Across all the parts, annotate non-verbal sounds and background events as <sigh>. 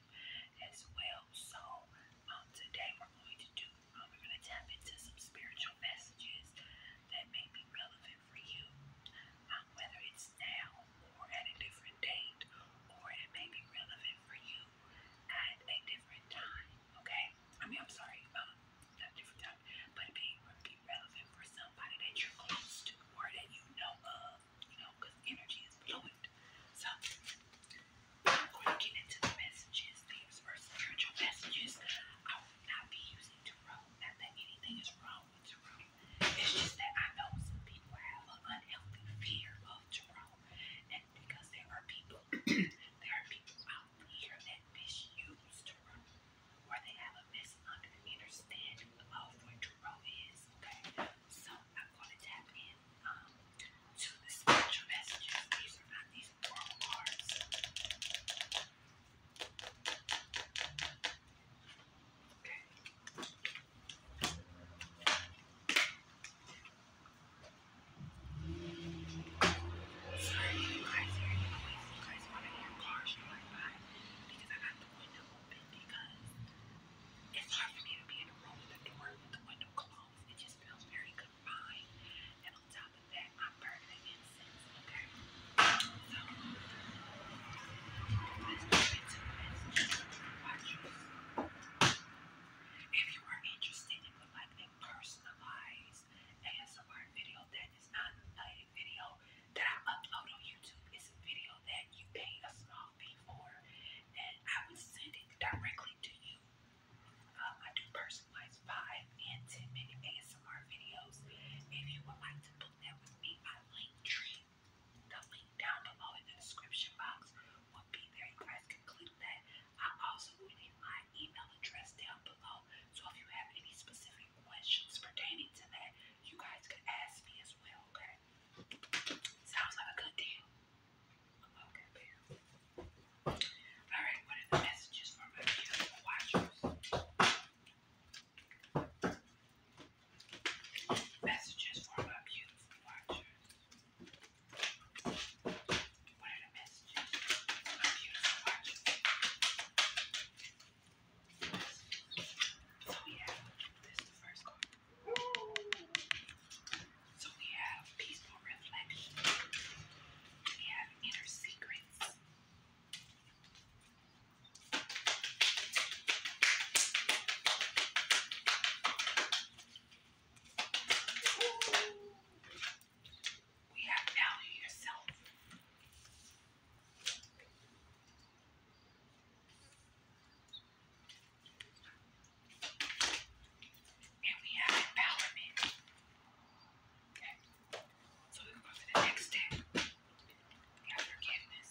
them as well. So um, today we're going to do, um, we're going to tap into some spiritual messages that may be relevant for you, um, whether it's now or at a different date, or it may be relevant for you at a different time. Okay? I mean, I'm sorry, um, not different time, but it may be relevant for somebody that you're close to or that you know of you know, because energy is fluid. So, I'm going to get into the messages, things for spiritual messages. I will not be using tarot. Not that anything is wrong with tarot. It's just that I know some people have an unhealthy fear of tarot. And because there are people, <clears throat> there are people out here that misuse tarot. Or they have a misunderstanding of what tarot is. Okay? So, I'm going to tap in um, to the spiritual messages. These are not these moral cards. Okay. Sorry, you guys hear noise. You guys want to hear cars drive by because I got the window open because it's hard for me to be in a room with the door, with the window closed. It just feels very confined. And on top of that, I'm burning incense, If you are interested and a personalized ASMR video, that is not a video that I upload on YouTube. It's a video that you pay a small fee for and I will send it directly to you. Um, I do personalized 5 and 10 minute ASMR videos. If you would like to book that with me, my link tree, the link down below in the description box will be there. You guys can click that. I also will leave my email address down below. So if you have any specific questions pertaining to that, you guys can ask me as well, okay? Okay. Sounds like a good deal. Alright, what are the messages for my beautiful watchers? Messages for my beautiful watchers. What are the messages for my beautiful watchers? So yeah, this is the first card. So we have peaceful reflection. We have inner secrets. We have value yourself. And we have empowerment. Okay. So we go to the next step. We have forgiveness.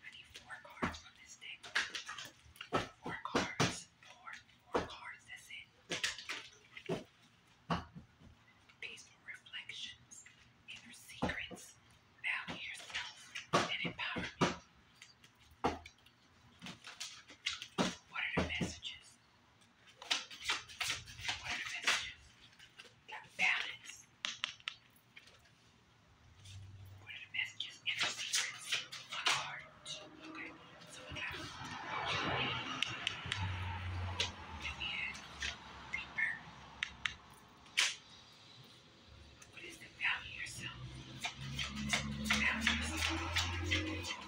I need four cards from this deck. Four cards. Four. Four cards. That's it. Peaceful reflections, inner secrets, value yourself, and empowerment. What are the messages? What are the messages? Got balance. One of the messages in the secrets of art. Okay, so we got Julian, Julian, Deeper. What is the value yourself? Value yourself. Value yourself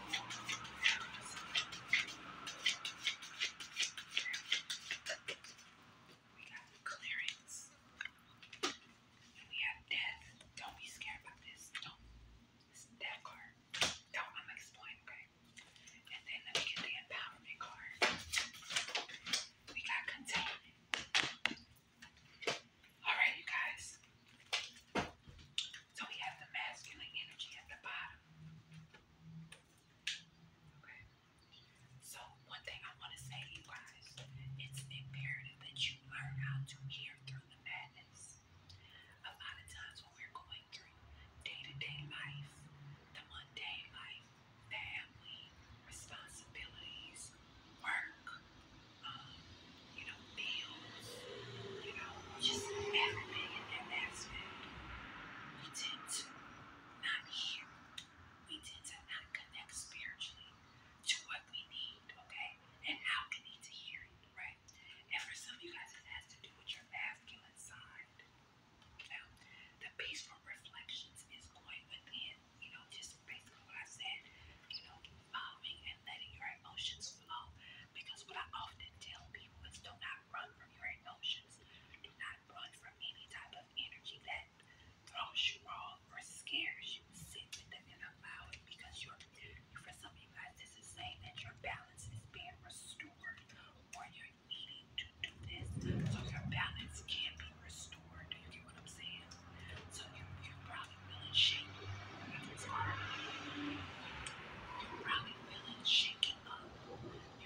we got clearance, we have death. Don't be scared about this. Don't. death card. Don't. I'm explain, okay? And then let me get the empowerment card. We got containment. Alright, you guys. So we have the masculine energy at the bottom. Okay. So, one thing I want to say, you guys, it's imperative that you learn how to hear through the madness. A lot of times when we're going through day-to-day life, the mundane life, family, responsibilities, work, um, you know, bills, you know, just everything in that aspect, we tend not hear we tend to not connect spiritually to what we need, okay? And how we need to hear it, right? And for some of you guys, it has to do with your masculine side. Now, the peaceful reflections is going within, you know, just basically what I said, you know, following and letting your emotions flow. Because what I often tell people is do not not run from your emotions, do not run from any type of energy that throws you off or scares you. Sit with it and allow it because you're, for some of you guys, this is saying that your balance is being restored or you're needing to do this so your balance can be restored. you get what I'm saying? So you, are probably feeling shaking. You're probably feeling shaking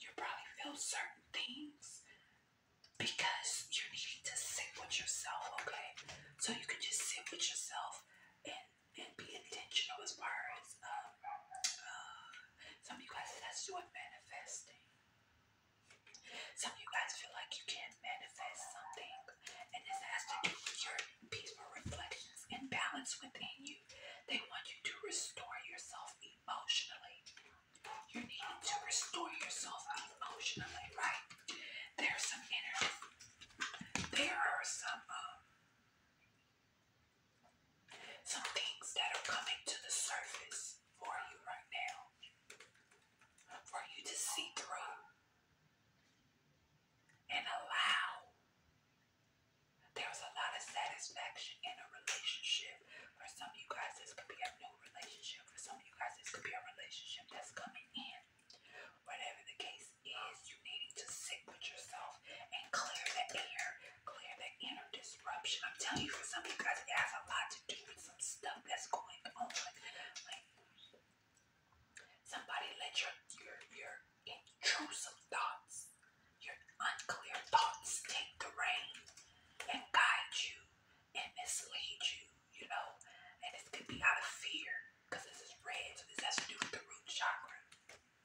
you probably feel certain things because you're needing to sit with yourself, okay? So you can just sit with yourself and, and be intentional as far as um, uh, some of you guys that's doing manifesting. Some of you guys feel like you can't manifest something, and this has to do with your peaceful reflections and balance within you. They want you to restore yourself emotionally. You are needing to restore yourself emotionally, right? There's some inner, there are some, um, some things that are coming to the surface for you right now, for you to see through and allow there's a lot of satisfaction in a relationship. For some of you guys, this could be a new relationship. For some of you guys, this could be a relationship that's coming in. Whatever the case is, you need to sit with yourself and clear the air, clear the inner disruption. I'm telling you, for some of you guys, it has a lot to do with some stuff that's going on. somebody let your your your intrusive thoughts thoughts. Your unclear thoughts take the reign and guide you and mislead you, you know. And this could be out of fear because this is red, so this has to do with the root chakra.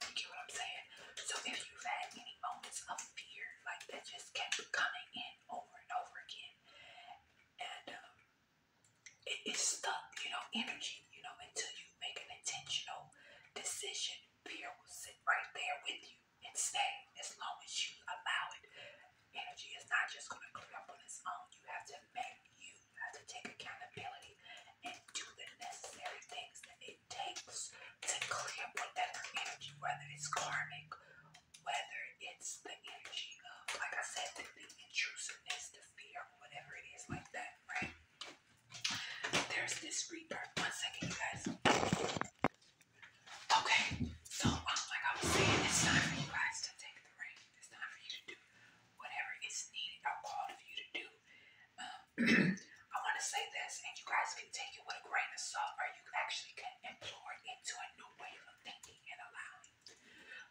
You get what I'm saying? So if you've had any moments of fear like that just kept coming in over and over again, and um, it's stuck, you know, energy, you know, until you make an intentional decision fear will sit right there with you and stay as long as you allow it. Energy is not just going to clear up on its own. You have to make, you have to take accountability and do the necessary things that it takes to clear whatever energy, whether it's karmic, whether it's the energy of, like I said, the, intrusiveness, the fear, whatever it is like that, right? There's this rebirth. One second, you guys. Okay, so um, like I was saying, it's time for you guys to take the ring. It's time for you to do whatever is needed or for you to do. Um, <clears throat> I want to say this, and you guys can take it with a grain of salt, or you actually can implore it into a new way of thinking and allowing.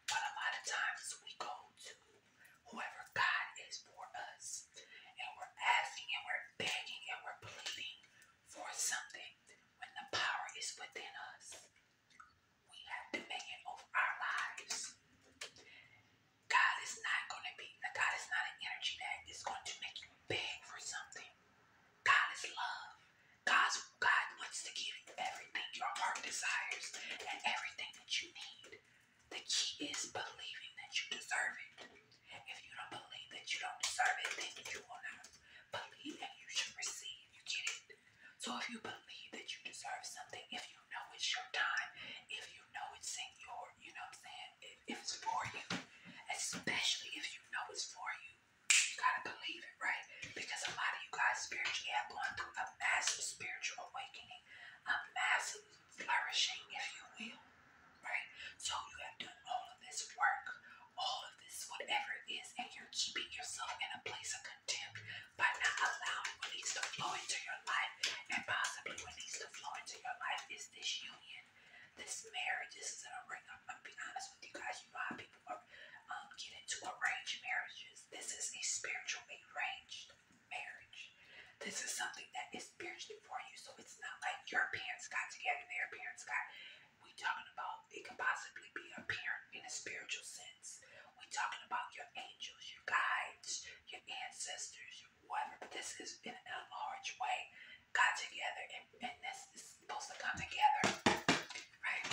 But a lot of times we go to whoever God is for us. And we're asking and we're begging and we're pleading for something when the power is within us. We have dominion over our lives. God is not going to be, God is not an energy that is going to make you beg for something. God is love. God's, God wants to give you everything your heart desires and everything that you need. The key is believing that you deserve it. If you don't believe that you don't deserve it, then you will not believe that you should receive. You get it? So if you believe that you deserve something, if you know it's your time, if you know it's in your, you know what I'm saying, if it's for you, especially if you know it's for you, you gotta believe it, right? Because a lot of you guys spiritually have gone through a massive spiritual awakening, a massive flourishing, if you will, right? So you have done all of this work, all of this, whatever it is, and you're keeping yourself in a place of contempt by not allowing what needs to flow into your life. And possibly what needs to flow into your life is this union, this marriage. This is an ring. I'm going honest with you guys. You people are, um, get into arranged marriages. This is a spiritual arranged marriage. This is something that is spiritually for you, so it's not like your parents got together, their parents got. We talking about it can possibly be a parent in a spiritual sense. We talking about your angels, your guides, your ancestors, your whatever. But this is in a large way got together, and, this is supposed to come together, right?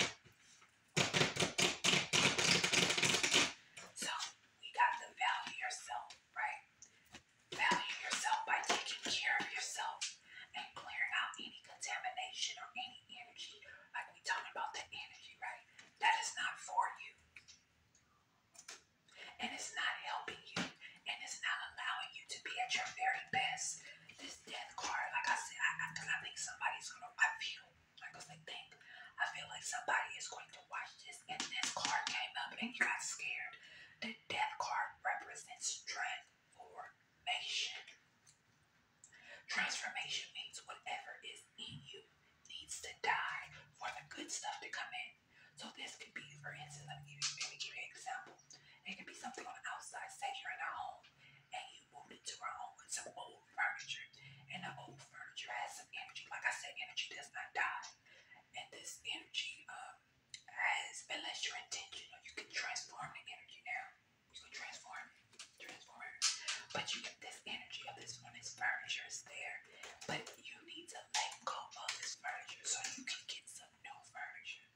So we got the value yourself right? Value yourself by taking care of yourself and clearing out any contamination or any energy. Like we talking about the energy, right? That is not for you. And it's not helping you. And it's not allowing you to be at your very best. This death card, like I said, I, I, think somebody's gonna I feel like think I feel like somebody is going to watch this, and this card came up, and you got scared. The death card represents transformation. Transformation means whatever is in you needs to die for the good stuff to come in. So this could be, for instance, let me give you, an example. It could be something on the outside. Say you're in a home, and you move into a home with some old furniture furniture. And the old furniture has some energy. Like I said, energy does not die. And this energy um, has, unless you're intentional, you can transform the energy now. You can transform it, transform it. But you get this energy of this one, this furniture is there. But you need to let go of this furniture so you can get some new furniture.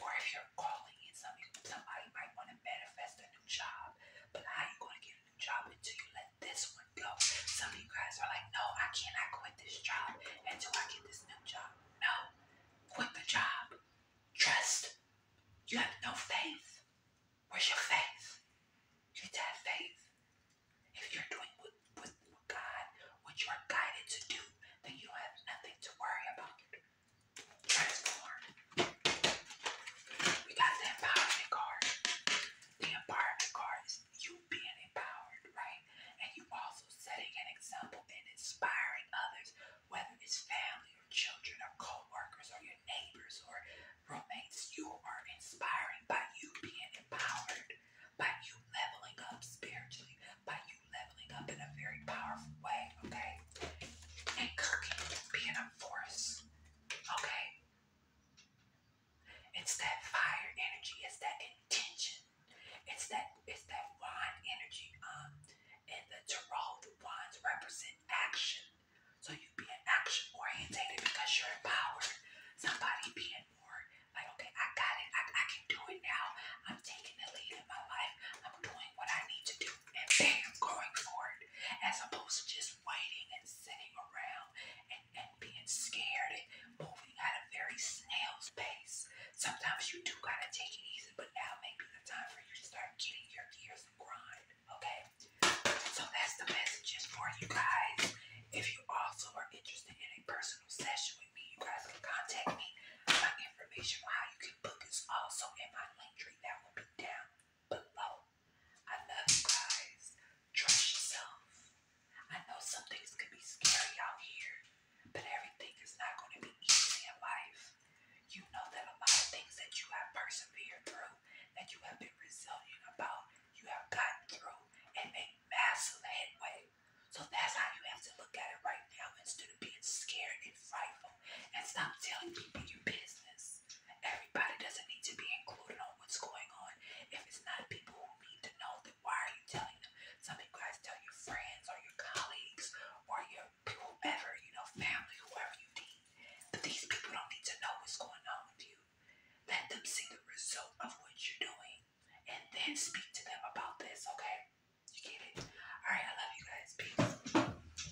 Or if you're calling in something, somebody might want to manifest a new job. But how you going to get a new job until you let this would go. Some of you guys are like, no, I cannot quit this job until I get this new job. No, quit the job. Trust. You have no faith. Where's your faith? You need to have faith. If you're doing what, what, God, what you are guided to do, then you have nothing to worry about. Transform. We got the empowerment card the empowerment card is you being empowered, right? And you also setting an example and inspiring others, whether it's family or children or coworkers or your neighbors or roommates. You are inspiring by you being empowered, by you leveling up spiritually, by you leveling up in a very powerful way, okay? And cooking, being a force, okay? It's that fire energy. It's that intention. It's that it's that wand energy. Um, and the tarot, the wands represent action. So you be an action orientated because you're empowered. Somebody being more like, okay, I got it. I, I can do it now. I'm taking the lead in my life. I'm doing what I need to do, and bam, going for it, as opposed to just waiting and sitting around and, and being scared and moving at a very snail's pace. Sometimes you do gotta take it easy, but now may be the time for you to start getting your gears and grind. Okay? So that's the messages for you guys. If you also are interested in a personal session with me, you guys can contact me. My information on how you can book is also in my link tree that will be down below. I love you guys. Trust yourself. I know some things can be scary out here, but everything is not going to be easy in life. You know that a lot of things that you have persevered through, that you have been resilient about, you have gotten through and made massive headway. So that's how you have to look at it right now instead of being scared and frightful and stop telling people your business. Everybody doesn't need to be included on what's going on. If it's not people who need to know, then why are you telling them? Some of you guys tell your friends or your colleagues or your whoever, you know, family, whoever you need. But these people don't need to know what's going on with you. Let them see the result of what you're doing and then speak to them about this, okay? You get it? Alright, I love you guys. Peace.